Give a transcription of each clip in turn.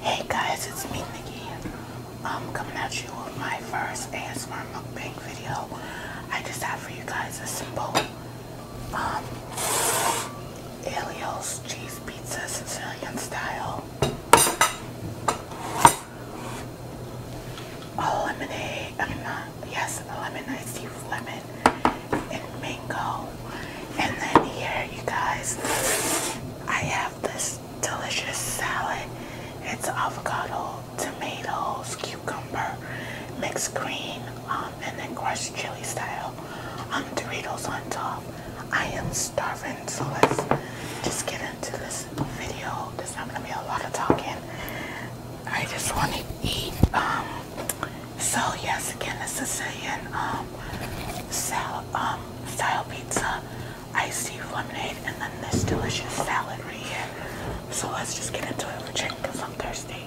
Hey guys, it's me Nikki. I'm coming at you with my first ASMR mukbang video. I just have for you guys a simple um, cheese pizza Sicilian style. A lemonade, I mean not, yes, a lemon, I lemon and mango. And then here, you guys, I have this delicious salad. It's avocado, tomatoes, cucumber, mixed green, and then crushed chili style um, Doritos on top. I am starving, so let's just get into this video. There's not gonna be a lot of talking. I just want to eat. Um, so yes, again, the Sicilian um, sal um, style pizza, iced tea lemonade, and then this delicious salad right here. So let's just get into it for chicken because I'm thirsty.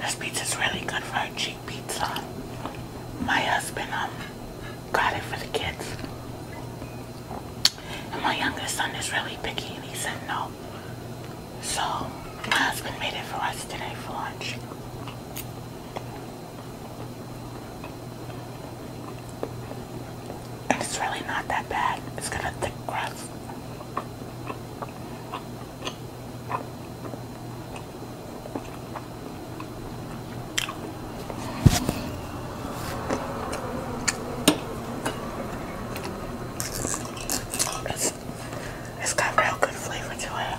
This pizza is really good for a cheap pizza. My husband um got it for the kids. And my youngest son is really picky and he said no. So my husband made it for us today for lunch and it's really not that bad. It's got a thick it's got real good flavor to it.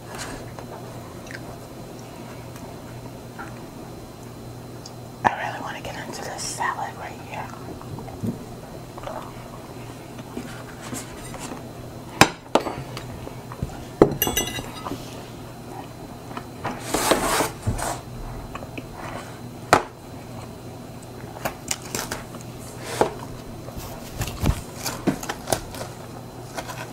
I really want to get into this salad right here.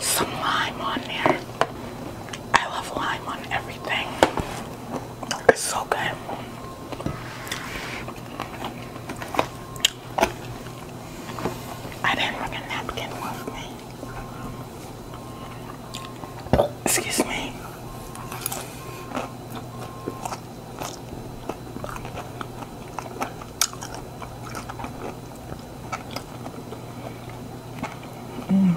Some lime on there. I love lime on everything. It's so good. I didn't bring a napkin with me. Excuse me. Mm.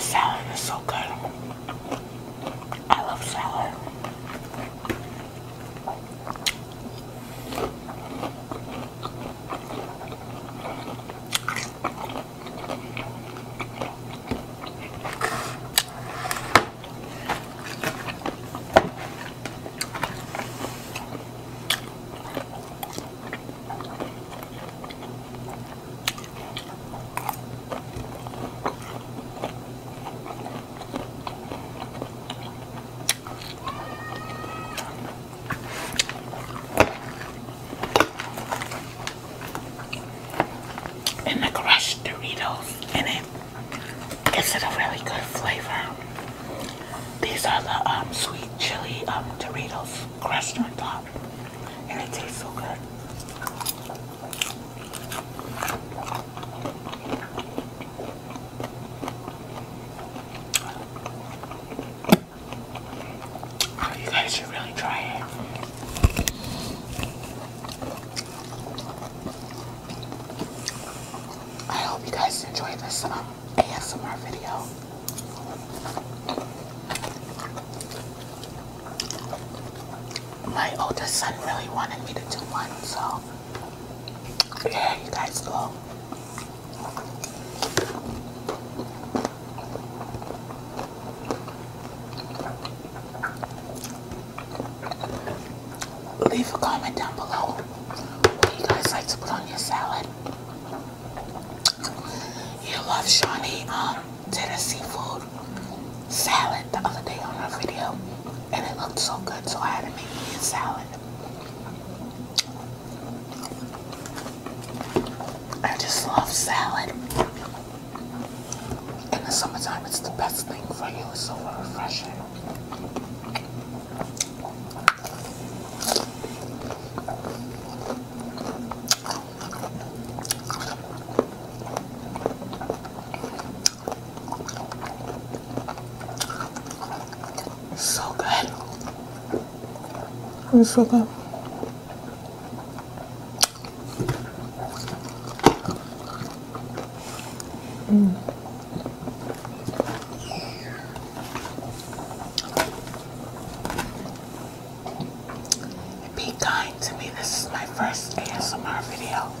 salad is so good. I love salad. and the crushed Doritos in it. and gives it a really good flavor. These are the um, sweet chili um, Doritos crushed on top, and it tastes so good. Oh, you guys should really try it. I hope you guys enjoy this uh, ASMR video. My oldest son really wanted me to do one, so yeah, you guys go. Leave a comment down below what do you guys like to put on your salad. You love Shawnee um, did a salad the other day on our video and it looked so good so I had to make me a salad. I just love salad. In the summertime, it's the best thing for you. It's so refreshing. So good. It's so good. Mm. Be kind to me. This is my first ASMR video.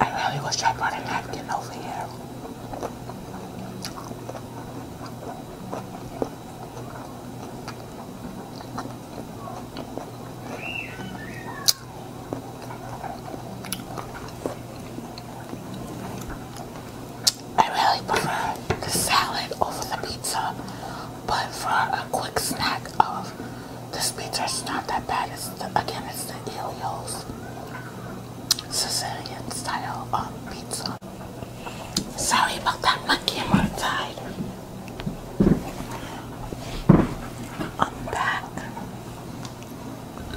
I really wish I brought a napkin over here. I really prefer the salad over the pizza, but for a quick snack of the pizza, it's not that bad. It's again, it's the Elio's. Sicilian style um, pizza. Sorry about that, my camera died. I'm back.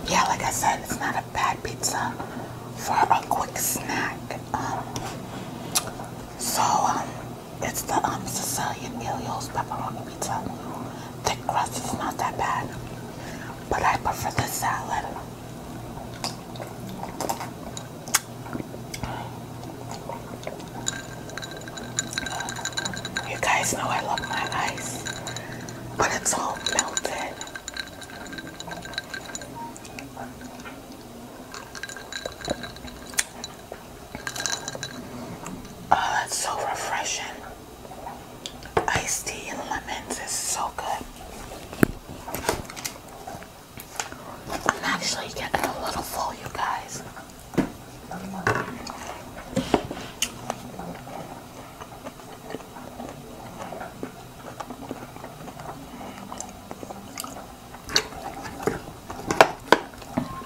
Yeah, like I said, it's not a bad pizza for a quick snack. Um, so, um, it's the um, Sicilian Elio's pepperoni pizza. The crust is not that bad but I prefer the salad. You guys know I love my ice, but it's all melted. Oh, that's so refreshing. Iced tea and lemons is so good. I'm actually getting a little full, you guys.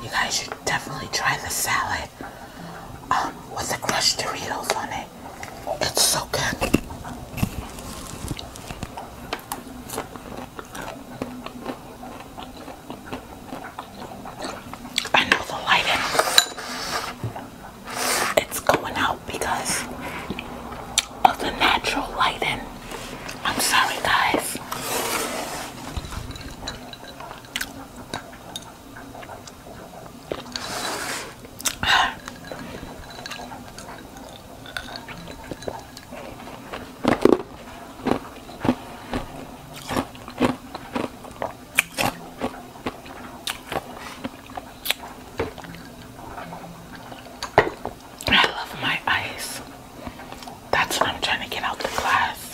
You guys should definitely try the salad it um, with the crushed Doritos on it. It's so good. I know the lighting. It's going out because of the natural lighting. I'm sorry, guys. I love my ice. That's what I'm trying to get out the glass.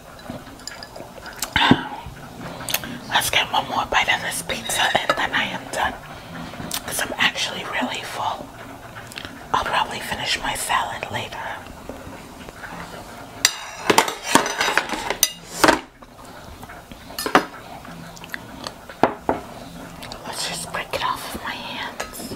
Let's get one more bite of this pizza and then I am done. I'm actually really full. I'll probably finish my salad later. Let's just break it off of my hands.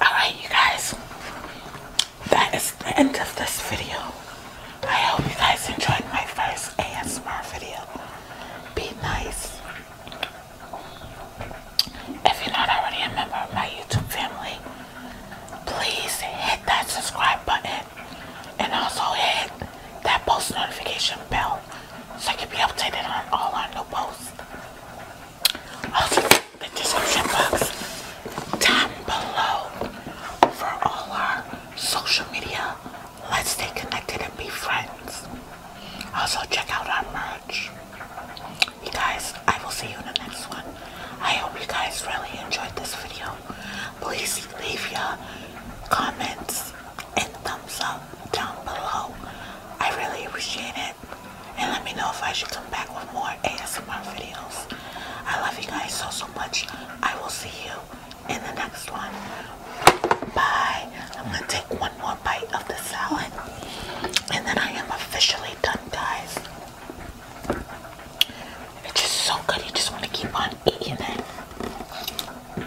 Alright, you guys. That is the end of this video. I hope you guys enjoyed my first ASMR video. Be nice. If you're not already a member of my YouTube family, please hit that subscribe button and also hit that post notification bell so you can be updated on all our new posts. Also, the description box down below for all our social media. Let's stay connected and be friends. Also, check out our merch. You guys, I will see you in the next one. I hope you guys really enjoyed this video. Please leave your comments and thumbs up down below. I really appreciate it. And let me know if I should come back with more ASMR videos. I love you guys so, so much. I will see you in the next one. Bye. I'm going to take one more bite of the salad. And then I am officially done, guys. It's just so good. You just want to keep on eating it.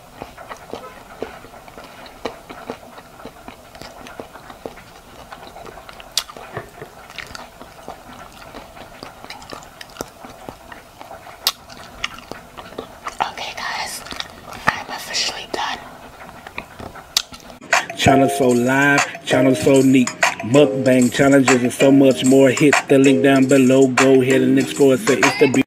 Okay guys, I'm officially done. Channel so live, channel so neat. Mukbang challenges and so much more. Hit the link down below. Go ahead and explore. Say it's the